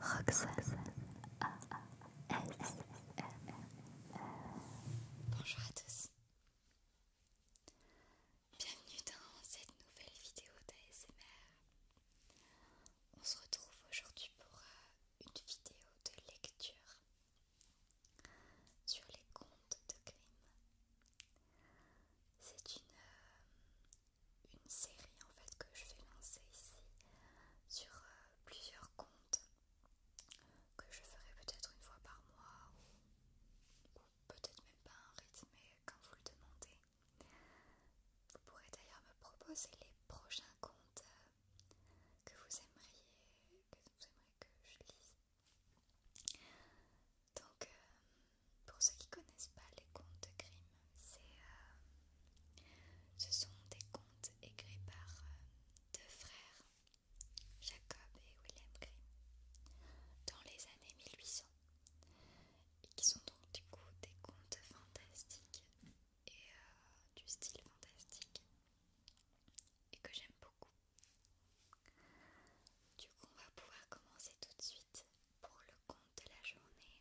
Roxas A Bonjour à tous. Bienvenue dans cette nouvelle vidéo d'ASMR. On se retrouve aujourd'hui pour euh, une vidéo de lecture sur les contes de Grimm. C'est une, euh, une série en fait que je vais lancer ici sur euh, plusieurs contes que je ferai peut-être une fois par mois ou, peut-être même pas un rythme mais quand vous le demandez. Vous pourrez d'ailleurs me proposer les prochains contes euh, que vous aimeriez que vous aimeriez que je lise. Donc, euh, pour ceux qui connaissent pas les contes de Grimm, euh, ce sont des contes écrits par euh, deux frères, Jacob et William Grimm, dans les années 1800, et qui sont donc du coup des contes fantastiques et euh, du style fantastique, et que j'aime beaucoup. Du coup, on va pouvoir commencer tout de suite pour le conte de la journée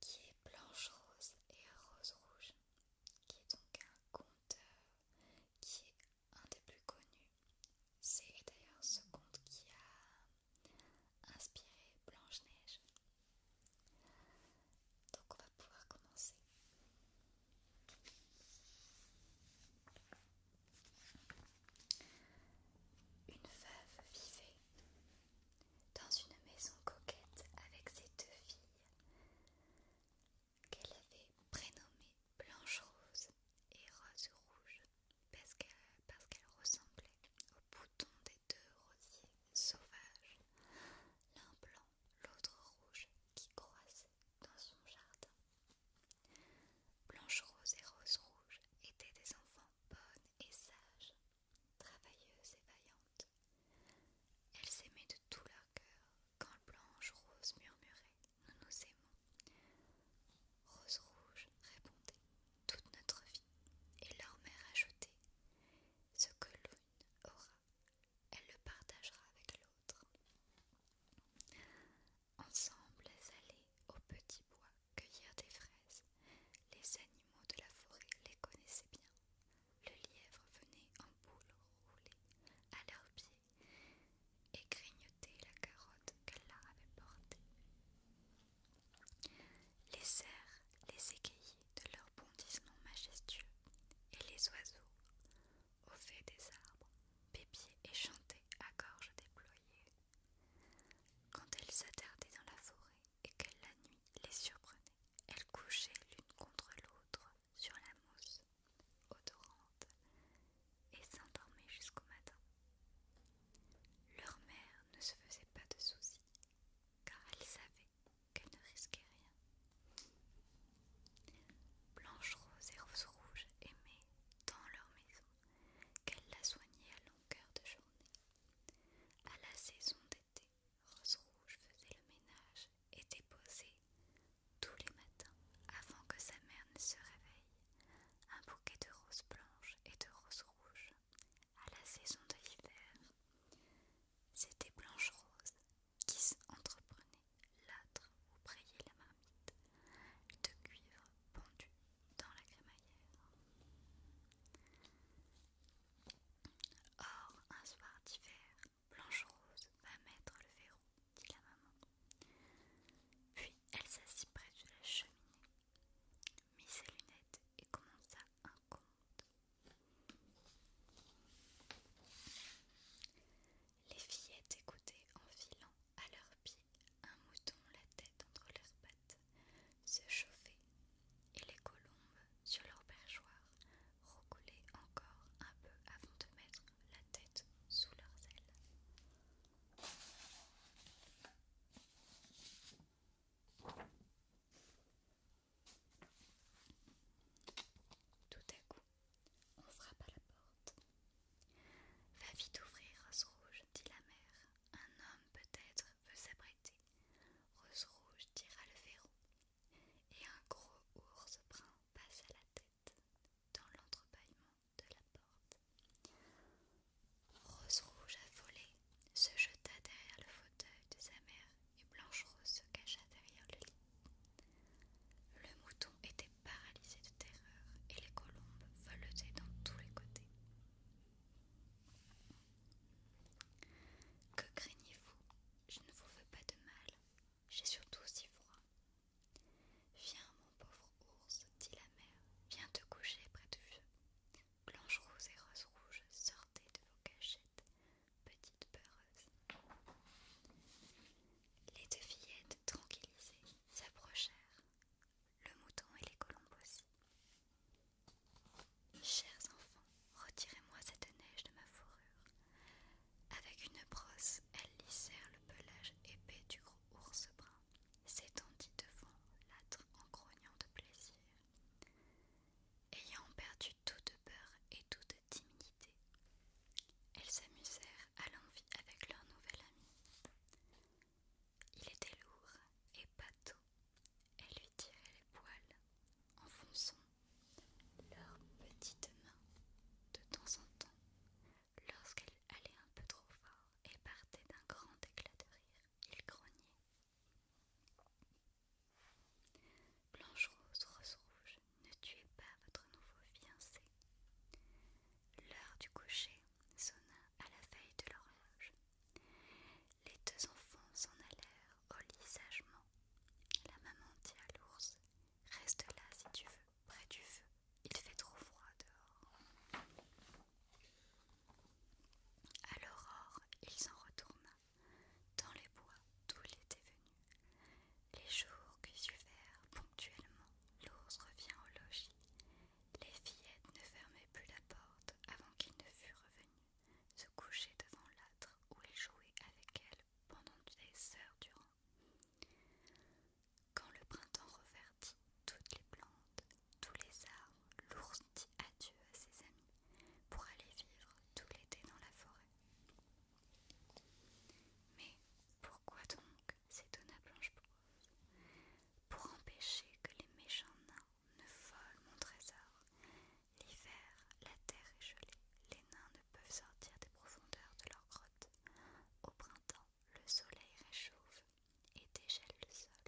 qui est blanche rose et rose rouge qui est donc un conte euh, qui est un des plus connus. C'est d'ailleurs ce conte qui a inspiré Blanche-Neige. Donc on va pouvoir commencer. Une veuve vivait dans une maison coquette avec ses deux filles qu'elle avait prénommées Blanche Rose et Rose Rouge parce qu'elles ressemblaient aux boutons des deux rosiers sauvages, l'un blanc, l'autre rouge, qui croissaient dans son jardin. Blanche Rose et Rose Rouge étaient des enfants bonnes et sages, travailleuses et vaillantes. Elles s'aimaient de tout leur cœur quand Blanche Rose murmurait Nous nous aimons. Rose Rouge répondait Toute notre vie. Et leur mère ajoutait Ce que l'une aura, elle le partagera avec l'autre. Ensemble, elles allaient au petit bois cueillir des fraises. Les animaux de la forêt les connaissaient bien. Le lièvre venait en boule rouler à leurs pieds et grignotait la carotte qu'elle leur avait portée. Les cerfs les égayaient de leurs bondissements majestueux et les oiseaux, au fait des arbres, pépiaient et chantaient à gorge déployée quand elles s'attardaient dans la forêt et que la nuit les surprenait, elles couchaient l'une contre l'autre sur la mousse odorante et s'endormaient jusqu'au matin. Leur mère ne se faisait pas de soucis, car elle savait qu'elle ne risquait rien. Blanche Rose et Rose Rouge aimaient dans leur maison qu'elle la soignait à longueur de journée. À la saison d'été, Rose Rouge faisait le ménage et déposait, tous les matins, avant que sa mère ne se réveille, un bouquet de roses blanches et de roses rouges. À la saison de l'hiver, c'était Blanche Rose qui s'entreprenait l'âtre où brayait la marmite de cuivre pendu dans la crémaillère. Or, un soir d'hiver, Blanche-Rose va mettre le verrou, dit la maman. Puis elle s'assit près de la cheminée, mit ses lunettes et commença un conte. Les fillettes écoutaient en filant à leurs pieds un mouton la tête entre leurs pattes se chauffait, et les colombes sur leur perchoir recoulaient encore un peu avant de mettre la tête sous leurs ailes. Tout à coup, on frappe à la porte. Va vite ouvrir, Rose Rouge, dit la mère. Un homme peut-être veut s'apprêter Rose Rouge tira le verrou, et un gros ours brun passe la tête dans l'entrepaillement de la porte. Rose Rouge affolée se jeta derrière le fauteuil de sa mère et Blanche Rose se cacha derrière le lit. Le mouton était Paralysée de terreur et les colombes voletaient dans tous les côtés. Que craignez-vous Je ne vous veux pas de mal. J'ai surtout si froid. Viens, mon pauvre ours, dit la mère, viens te coucher près du feu. Blanche Rose et Rose Rouge, sortez de vos cachettes, petite peureuses. Les deux fillettes, tranquillisées, s'approchèrent, le mouton et les colombes aussi. Chers enfants, retirez-moi cette neige de ma fourrure. Avec une brosse, elles lissèrent le pelage épais du gros ours brun, s'étendit devant l'âtre en grognant de plaisir. Ayant perdu toute peur et toute timidité, elles s'amusèrent à l'envie avec leur nouvel ami. Il était lourd et bateau. elle lui tirait les poils en fonçant leurs petites mains de temps en temps lorsqu'elle allait un peu trop fort et partait d'un grand éclat de rire. Il grognait. Blanche Rose, Rose Rouge ne tuez pas votre nouveau fiancé. L'heure du coucher sonna à la veille de l'horloge. Les deux enfants s'en allèrent au lit sagement. La maman dit à l'ours Reste là si tu veux, près du feu, il fait trop froid dehors. À l'aurore, il s'en retourna dans les bois d'où il était venu. Les jours qui suivèrent ponctuellement, l'ours revient au logis. Les fillettes ne fermaient plus la porte avant qu'il ne fût revenu, se coucher devant l'âtre où il jouait avec elles pendant des heures durant. Quand le printemps revertit toutes les plantes, tous les arbres, l'ours dit adieu à ses amis pour aller vivre tout l'été dans la forêt. Mais pourquoi donc à Blanche Pour empêcher que les méchants nains ne volent mon trésor. L'hiver, la terre est gelée, les nains ne peuvent sortir des profondeurs de leur grotte. Au printemps, le soleil réchauffe et dégèle le sol.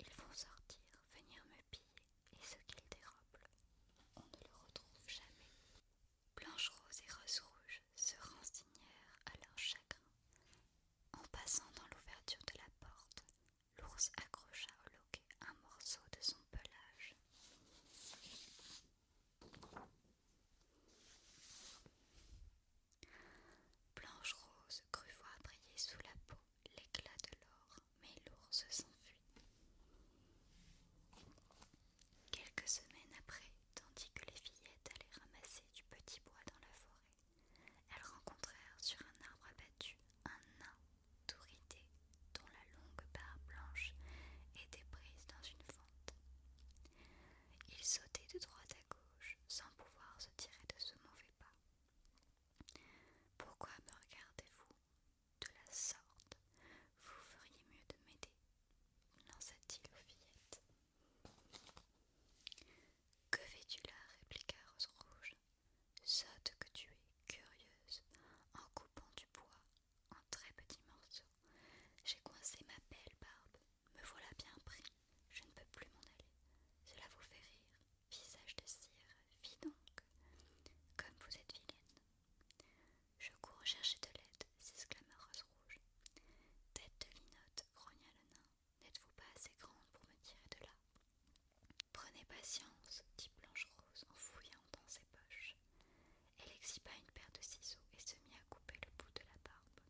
Ils vont sortir, venir me piller, et ce qu'ils dérobent, on ne le retrouve jamais. Blanche Rose et Rose Rouge se renseignèrent à leur chagrin. En passant dans l'ouverture de la porte, l'ours accrocha au loquet un morceau de son pelage. Blanche Rose crut voir briller sous la peau l'éclat de l'or, mais l'ours s'enfuit. Quelques semaines après, tandis que les fillettes allaient ramasser du petit bois dans la forêt, elles rencontrèrent sur un arbre abattu un nain tout dont la longue barre blanche était prise dans une fente. Il sautait de droite à gauche sans pouvoir se tirer de ce mauvais pas. Pourquoi me regardez-vous de la sorte, vous feriez mieux de m'aider, lança-t-il aux fillettes. Que fais-tu là répliqua Rose Rouge. Sotte que tu es, curieuse, en coupant du bois en très petits morceaux. J'ai coincé ma belle barbe, me voilà bien pris, je ne peux plus m'en aller. Cela vous fait rire, visage de cire, vis donc, comme vous êtes vilaine. Je cours chercher de l'aide, s'exclama Rose Rouge. Tête de linotte, grogna le nain. N'êtes-vous pas assez grande pour me tirer de là Prenez patience, dit Blanche Rose en fouillant dans ses poches. Elle exhiba une paire de ciseaux et se mit à couper le bout de la barbe.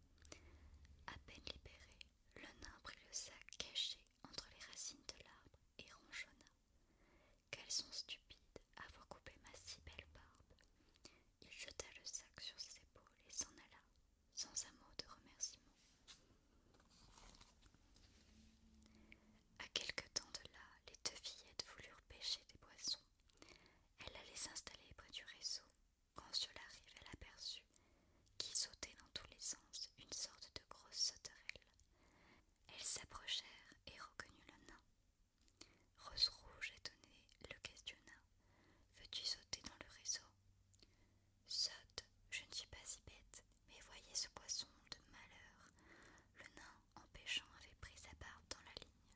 À peine libérée, le nain prit le sac caché entre les racines de l'arbre et ronchonna. Qu'elles sont stupides, avoir coupé ma si belle barbe. Il jeta le sac sur ses épaules et s'en alla, sans un mot de remerciement. À quelque temps de là, les deux fillettes voulurent pêcher des poissons. Elle allait s'installer près du réseau. Quand sur la rive, elle aperçut, qui sautait dans tous les sens, une sorte de grosse sauterelle. Elles s'approchèrent et reconnurent le nain. Rose Rouge, étonnée, le questionna. Veux-tu sauter dans le réseau Saute, je ne suis pas si bête, mais voyez ce poisson de malheur. Le nain, empêchant pêchant, avait pris sa barbe dans la ligne.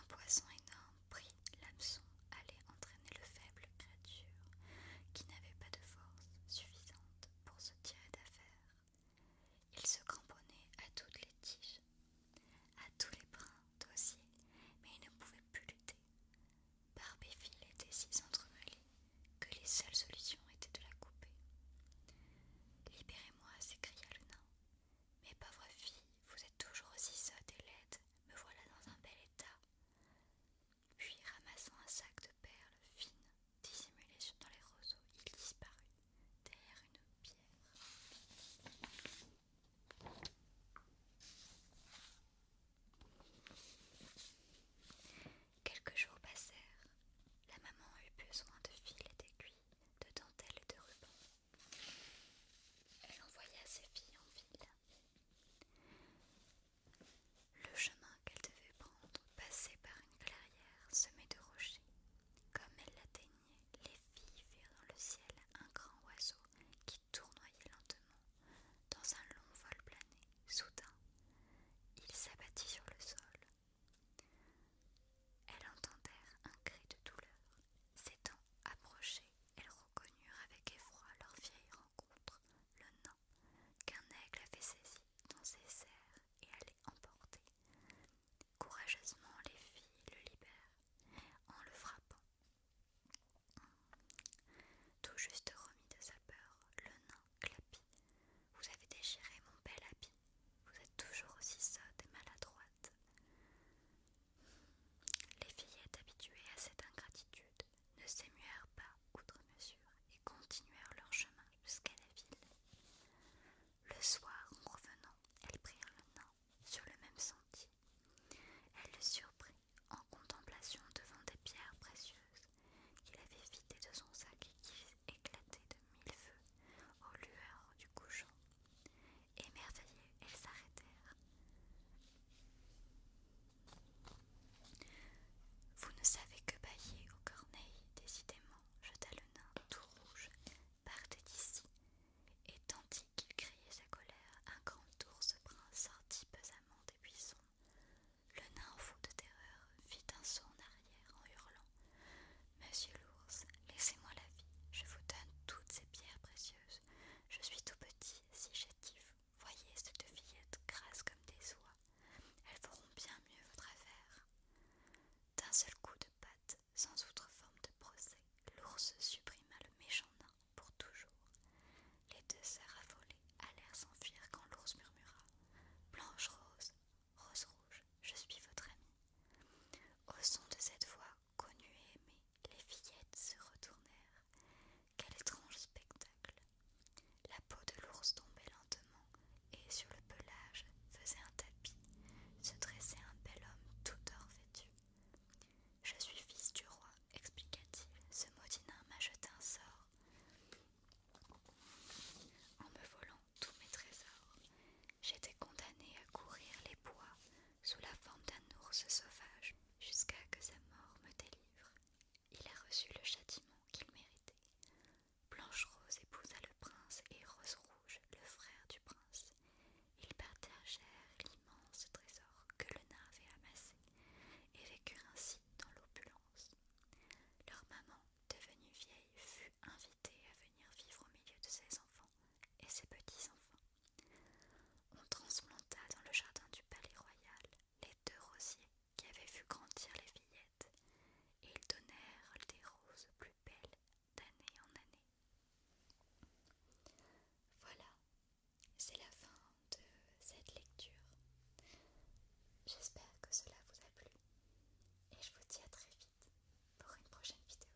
Un poisson énorme pris l'hameçon, allait entraîner le faible créature, qui n'avait pas de force suffisante pour se tirer d'affaire. Il se cramponnait à toutes les tiges, à tous les brins dossiers, mais il ne pouvait plus lutter. fil était si entremêlé que les seules solutions étaient de la couper. Libérez-moi, s'écria le nain. Mes pauvres filles, vous êtes toujours aussi sottes et laides, me voilà dans un bel état. Puis, ramassant un sac de perles fines, Dissimulé dans les roseaux, il disparut derrière une pierre. Quelques jours passèrent. La maman eut besoin de fils et d'aiguilles, de dentelles et de rubans. Elle envoya ses filles en ville. Le chemin qu'elle devait prendre passait par une clairière semée de rochers. Comme elle l'atteignait, les filles virent dans le ciel un grand oiseau qui tournoyait lentement dans un long vol plané. Soudain, il s'abattit sur le sol. Elles entendèrent un cri de douleur. S'étant approchées, elles reconnurent avec effroi leur vieille rencontre, le nain qu'un aigle avait saisi dans ses serres et allait emporter. Courageusement, les filles le libèrent en le frappant. Tout juste remis de sa peur, le nain clapit. Vous avez déchiré mon bel habit. Vous êtes toujours aussi sotte et maladroite. Les fillettes habituées à cette ingratitude ne s'émuèrent pas outre mesure et continuèrent leur chemin jusqu'à la ville. Le soir, en revenant, elles prirent le nain sur le même sentier. Elle le surprit en contemplation devant des pierres précieuses qu'il avait vidées de son sac et qui éclataient de mille feux aux lueurs du couchant. Émerveillées, elles s'arrêtèrent. Vous ne savez que bailler au corneilles, décidément, jeta le nain tout rouge, Partez d'ici, et tandis qu'il criait sa colère, un grand ours brun sortit pesamment des buissons. Le nain, fou de terreur, fit un saut en arrière en hurlant Monsieur l'ours, laissez-moi la vie, je vous donne toutes ces pierres précieuses. Je suis tout petit, si chétif. Voyez cette fillette grasse comme des oies, elles feront bien mieux votre affaire. D'un seul coup de patte, sans autre forme de procès, l'ours supprima le méchant nain pour toujours. Les deux sœurs affolées allèrent s'enfuir quand l'ours murmura Blanche Rose, Rose Rouge, je suis votre amie. Au son de cette voix connue et aimée, les fillettes se retournèrent. Quel étrange spectacle la peau de l'ours tombait lentement et sur le pelage faisait un tapis, se dressait un bel homme tout or vêtu. Je suis fils du roi, expliqua-t-il. Ce maudit m'a jeté un sort en me volant tous mes trésors. J'étais condamné à courir les bois sous la forme d'un ours sauvage jusqu'à que sa mort me délivre il a reçu le châtiment qu'il méritait. Blanche Rose épousa le prince et Rose Rouge, le frère du prince. Ils partagèrent l'immense trésor que le nain avait amassé et vécurent ainsi dans l'opulence. Leur maman, devenue vieille, fut invitée à venir vivre au milieu de ses enfants et ses petits-enfants. On transplanta dans le jardin du palais royal les deux rosiers qui avaient vu grandir les fillettes et ils donnèrent des roses plus belles d'année en année. Voilà, c'est la fin de cette lecture. J'espère que cela vous a plu, et je vous dis à très vite pour une prochaine vidéo.